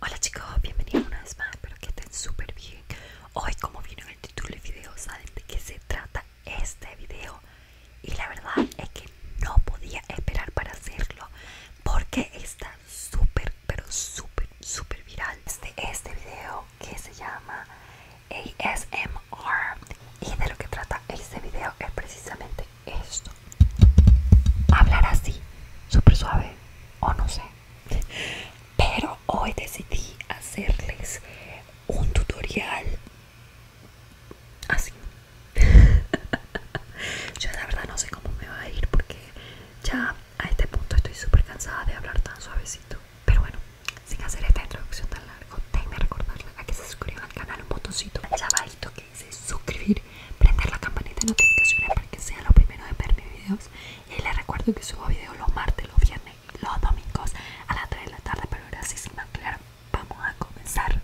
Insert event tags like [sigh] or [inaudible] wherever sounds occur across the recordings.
Hola chicos, bienvenidos una vez más, espero que estén súper bien Hoy como vino en el título del video, saben de qué se trata este video Y la verdad es que no podía esperar para hacerlo Porque está súper, pero súper, súper viral Este, este video que se llama ASMR Y de lo que trata este video es precisamente esto Hablar así, súper suave o no sé pero hoy decidí hacerles un tutorial así [laughs] yo la verdad no sé cómo me va a ir porque ya a este punto estoy súper cansada de hablar tan suavecito pero bueno sin hacer esta introducción tan larga déjenme recordarles a que se suscriban al canal un botoncito chavadito que dice suscribir prender la campanita de notificaciones para que sea lo primero de ver mis videos. Y les recuerdo que subo videos los martes, los viernes los domingos a las 3 de la tarde. Pero gracias, sin más claro, vamos a comenzar.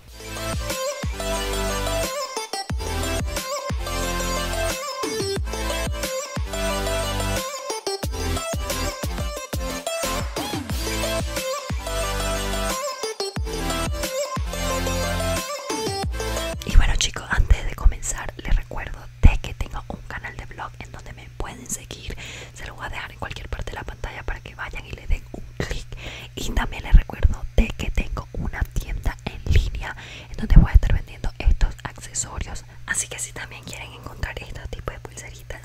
Y bueno antes de comenzar les recuerdo de que tengo un canal de blog en donde me pueden seguir. Se lo voy a dejar en cualquier parte de la pantalla para que vayan y le den un clic. Y también les recuerdo de que tengo una tienda en línea en donde voy a estar vendiendo estos accesorios. Así que si también quieren encontrar estos tipo de pulseritas,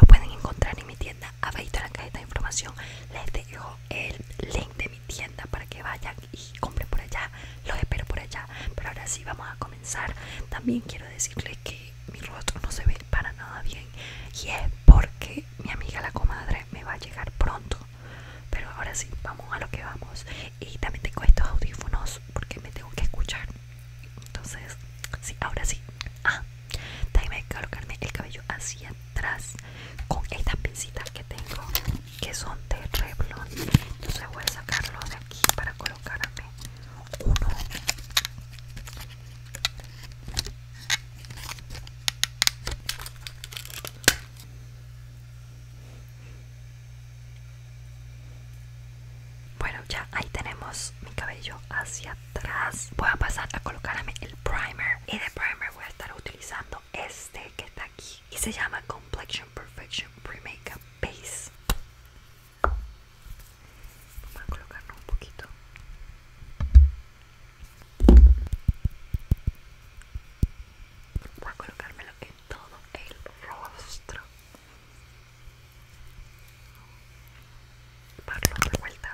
lo pueden encontrar en mi tienda. Abajo en la cajita de información les dejo el link de mi tienda para que vayan y compré por allá, los espero por allá. Pero ahora sí vamos a comenzar. También quiero decirle que mi rostro no se ve para nada bien y es porque mi amiga la comadre me va a llegar pronto. Pero ahora sí, vamos a lo que vamos. Y también tengo estos audífonos porque me tengo que escuchar. Entonces, sí, ahora sí. Ah, a colocarme el cabello hacia tras, con estas pincitas que tengo que son de Revlon entonces voy a sacarlo de aquí para colocarme uno bueno ya ahí tenemos mi cabello hacia atrás voy a pasar a colocarme el primer y de primer voy a estar utilizando este que está y se llama Complexion Perfection Pre Makeup Base. Vamos a colocarlo un poquito. Voy a colocármelo en todo el rostro. para de vuelta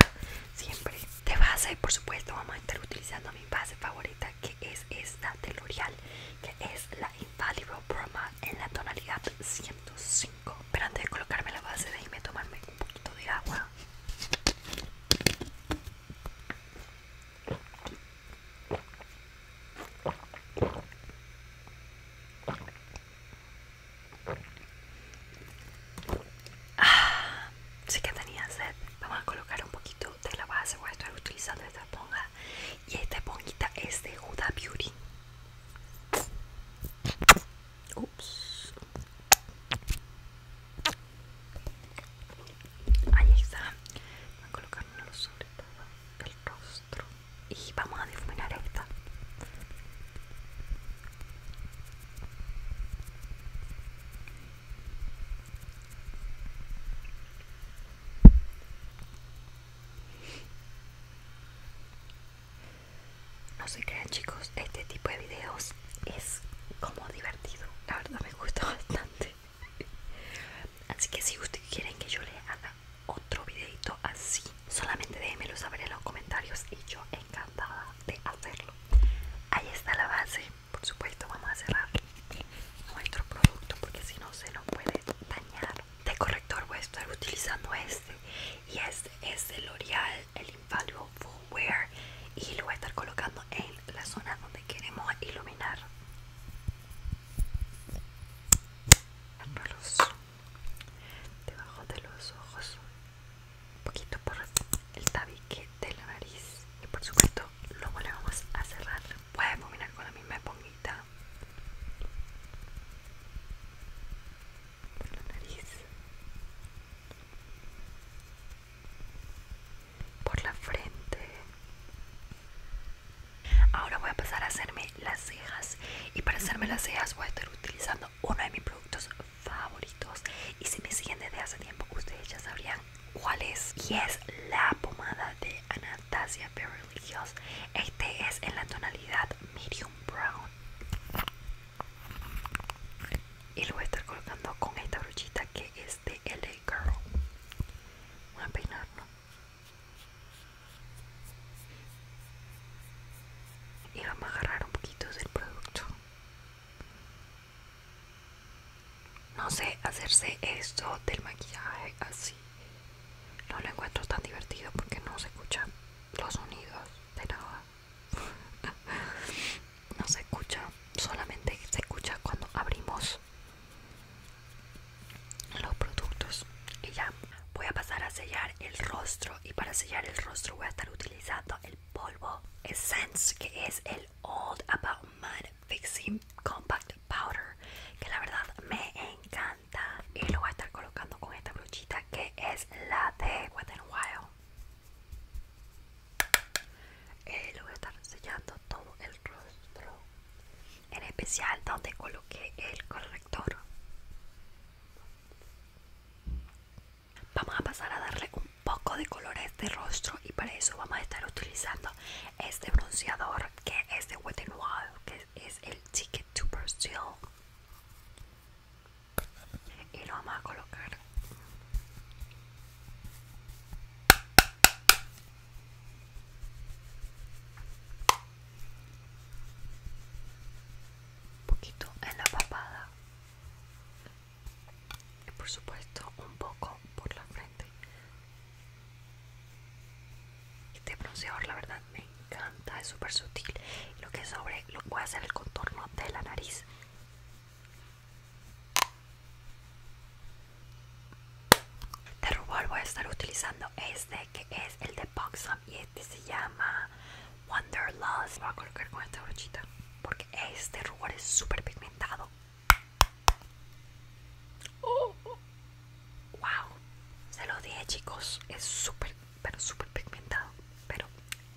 siempre de base, por supuesto, vamos a estar utilizando mi base favorita que es esta de L'Oreal, que es la Invalid Broma en la tonalidad 105. Pero antes de colocarme la base, me tomarme un poquito de agua. Ah, sí que tenía sed. Vamos a colocar un poquito de la base, voy a estar utilizando esta esponja y esta esponjita es de Huda Beauty Ups. ahí está voy a colocármelo sobre todo el rostro y vamos a difuminar esta no se crean chicos, este tipo de videos es como divertido, la verdad me gusta [laughs] bastante. Así que si ustedes quieren que yo le haga otro videito así, solamente déjenmelo saber en los comentarios y yo encantada de hacerlo. Ahí está la base por supuesto vamos a cerrar nuestro producto porque si no se nos puede dañar de corrector voy a estar utilizando este y este es el L'Oreal el Invaluable Full Wear y lo voy a estar colocando en la zona donde queremos iluminar debajo de los ojos un poquito por el tabique de la nariz y por supuesto luego le vamos a cerrar Voy a combinar con la misma esponjita por la nariz por la frente ahora voy a pasar a hacerme las cejas y para hacerme las cejas voy a estar utilizando uno de mis productos favoritos y si me siguen desde hace tiempo ustedes ya sabrían cuál es y es la pomada de Anastasia Beverly Hills este es en la tonalidad medium brown y lo voy a estar colocando con esta brochita que es de LA Girl voy a peinarlo y vamos a agarrar un poquito del producto no sé, hacerse esto del maquillaje así. No lo encuentro tan divertido porque no se escuchan los sonidos de nada. [laughs] no se escucha, solamente se escucha cuando abrimos los productos. Y ya, voy a pasar a sellar el rostro. Y para sellar el rostro voy a estar utilizando el polvo Essence, que es el Old About Mud Fixing Compact Powder que la verdad me encanta y lo voy a estar colocando con esta brochita que es la de Wet n Wild Y eh, lo voy a estar sellando todo el rostro en especial donde coloqué el corrector Vamos a pasar a darle un poco de color a este rostro y para eso vamos a estar utilizando este bronceador que es de Wet n Wild, que es el Ticket to Brazil. Y lo vamos a colocar. Un poquito en la papada y por supuesto un poco por la frente este bronceador la verdad me encanta es súper sutil lo que sobre lo voy a hacer el contorno de la nariz de este rubor voy a estar utilizando este que es el de boxam y este se llama Wanderlust. Voy a colocar con esta brochita porque este rubor es súper pigmentado. Oh. Wow, se lo dije chicos, es súper, pero súper pigmentado, pero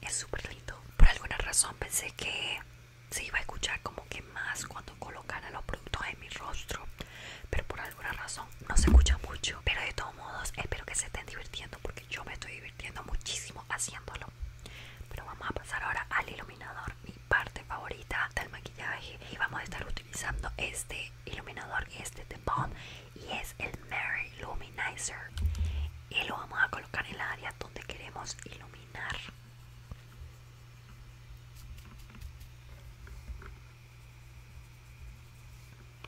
es súper lindo. Por alguna razón pensé que se iba a escuchar como que más cuando colocara los productos en mi rostro, pero por alguna razón no se escucha mucho. Pero de todos modos, espero que se estén divirtiendo porque yo me estoy divirtiendo muchísimo haciéndolo. Pero vamos a pasar ahora al iluminador, mi parte favorita del maquillaje. Y vamos a estar utilizando este iluminador, este de bond y es el Mary Luminizer. Y lo vamos a colocar en el área donde queremos iluminar.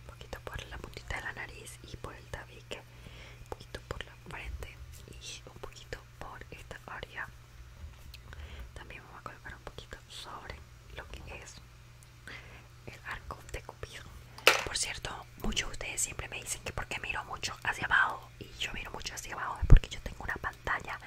Un poquito por la puntita de la nariz y por el tabique un poquito por la frente y un poquito por esta área. También vamos a colocar un poquito sobre lo que es el arco de Cupido. Por cierto, muchos de ustedes siempre me dicen que porque miro mucho hacia abajo y yo miro mucho hacia abajo es porque yo tengo una pantalla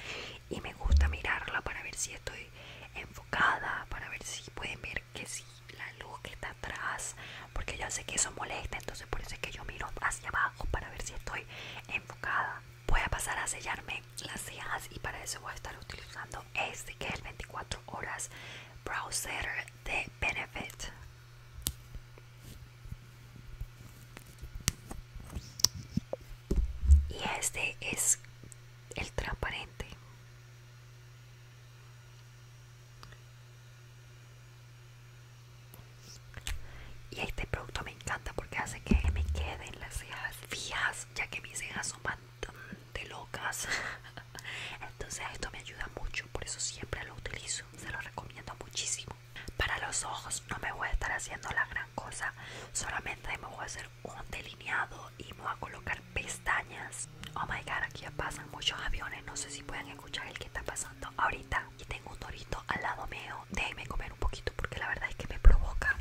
y me gusta mirarla para ver si estoy enfocada, para ver si pueden ver que sí la luz que está atrás porque ya sé que eso molesta entonces por eso que yo miro hacia abajo para ver si estoy enfocada voy a pasar a sellarme las cejas y para eso voy a estar utilizando este que es el 24 horas brow setter de benefit y este es el transparente y este producto me encanta porque hace que me queden las cejas fijas, ya que mis cejas son bastante locas. [laughs] Entonces esto me ayuda mucho, por eso siempre lo utilizo. Se lo recomiendo muchísimo. Para los ojos no me voy a estar haciendo la gran cosa, solamente me voy a hacer un delineado y me voy a colocar pestañas Oh my god, aquí ya pasan muchos aviones. No sé si pueden escuchar el que está pasando ahorita. Y tengo un dorito al lado mío. Déjenme comer un poquito porque la verdad es que me provoca.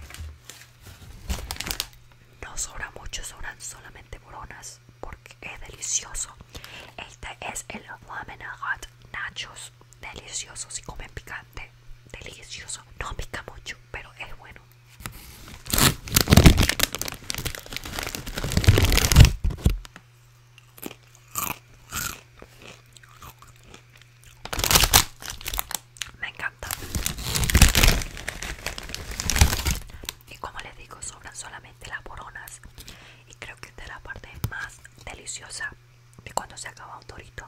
No sobra mucho, sobran solamente boronas porque es delicioso. Este es el Ramen Hot Nachos. Delicioso, si comen picante. Delicioso. No pica mucho, pero es bueno. Me encanta. Y como les digo, sobran solamente las boronas. Y creo que esta es la parte más deliciosa de cuando se acaba un torito.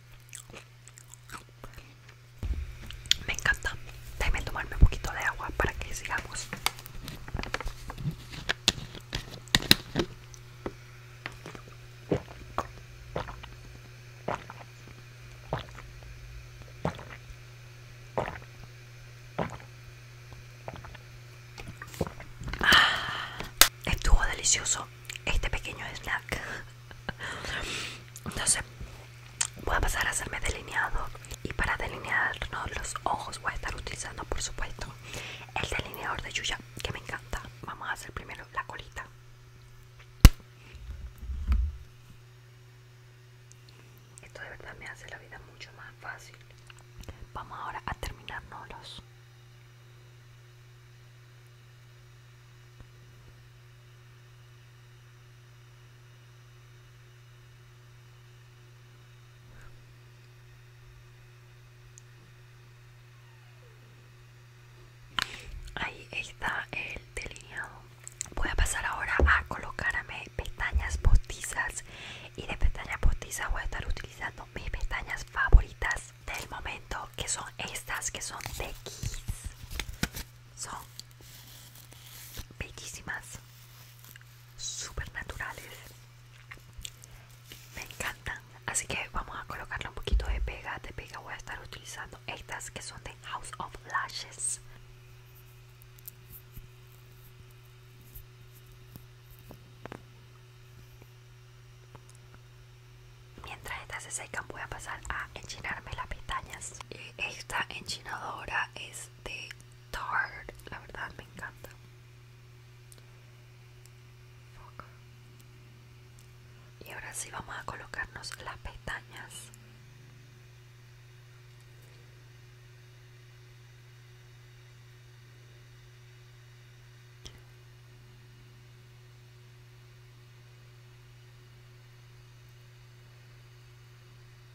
Me encanta. Dame tomarme un poquito de agua para que sigamos. Ah, estuvo delicioso este pequeño snack entonces voy a pasar a hacerme delineado y para delinearnos los ojos voy a estar utilizando por supuesto el delineador de Yuya que me encanta. Vamos a hacer primero la colita. Esto de verdad me hace la vida mucho más fácil. Vamos ahora a terminarnos los Ahí está el delineado. Voy a pasar ahora a colocarme pestañas postizas y de pestañas postizas voy a estar utilizando mis pestañas favoritas del momento que son estas que son de Kiss son bellísimas super naturales me encantan así que vamos a colocarle un poquito de pega de pega voy a estar utilizando estas que son de House of Lashes Mientras estas se secan voy a pasar a enchinarme las pestañas. Eh, esta enchinadora es de Tarte, la verdad me encanta. Y ahora sí vamos a colocarnos las pestañas.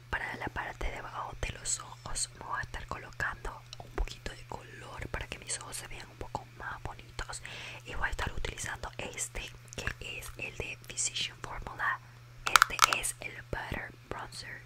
Para la parte de abajo de los ojos voy a estar colocando un poquito de color para que mis ojos se vean un poco más bonitos. Y voy a estar utilizando este que es el de Physician Formula. Este es el Butter Bronzer.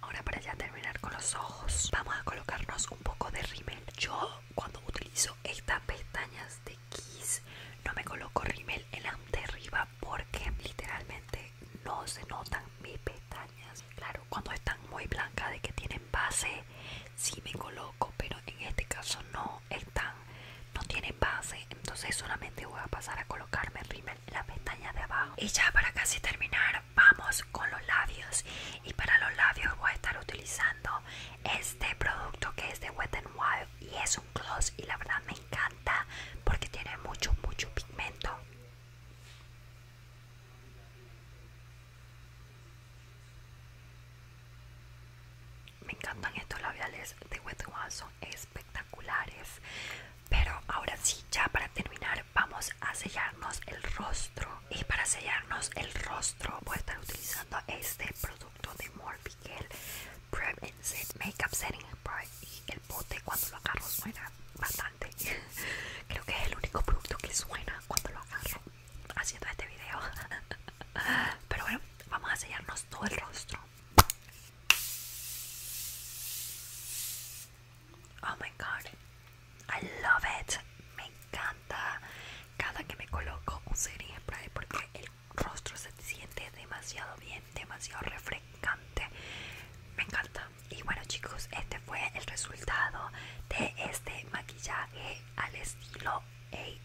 Ahora para ya terminar con los ojos, vamos a colocarnos un poco de rímel. Yo cuando utilizo estas pestañas de Kiss no me coloco rímel en la de arriba porque literalmente no se notan mis pestañas. Claro, cuando están muy blancas de que tienen base sí me coloco, pero en este caso no están, no tienen base, entonces solamente voy a pasar a colocarme rímel en la pestaña de abajo. Y ya para casi terminar vamos con los labios y para los labios voy a estar utilizando este producto que es de Wet n Wild y es un gloss y la verdad me encanta porque tiene mucho mucho pigmento me encantan estos labiales de Wet n Wild son espectaculares pero ahora sí ya para terminar vamos a sellarnos el rostro y para sellarnos el rostro voy a estar utilizando este producto de Morphe Prep and Set Makeup Setting Spray y el bote cuando lo agarro suena bastante [laughs] creo que es el único producto que suena cuando lo agarro haciendo este video [laughs] pero bueno vamos a sellarnos todo el rostro Oh my god, I love it. Me encanta. Cada que me coloco un spray porque el rostro se siente demasiado bien, demasiado refrescante. Me encanta. Y bueno, chicos, este fue el resultado de este maquillaje al estilo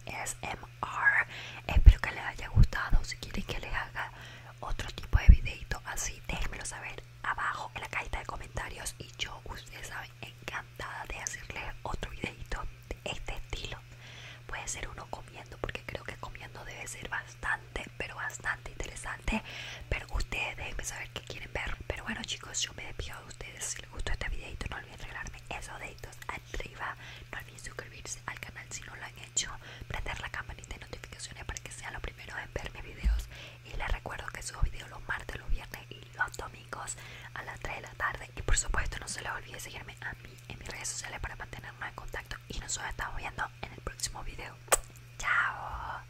ASMR. Espero que les haya gustado. Si quieren que les haga otro tipo de videito así, déjenmelo saber abajo en la cajita de comentarios y yo, ustedes saben, encantada de hacerles otro videito de este estilo. Puede ser uno comiendo, porque creo que comiendo debe ser bastante, pero bastante interesante. Pero ustedes deben saber qué quieren ver. Pero bueno chicos, yo me despido de ustedes. Si les gustó este videito, no olviden regalarme esos deditos arriba. No olviden suscribirse al canal si no lo han hecho. Prender la campanita de notificaciones para que sean los primeros en ver mis videos y les recuerdo que subo videos los martes, los viernes y los domingos a las 3 de la tarde y por supuesto no se les olvide seguirme a mí en mis redes sociales para mantenernos en contacto y nos estamos viendo en el próximo video. Chao.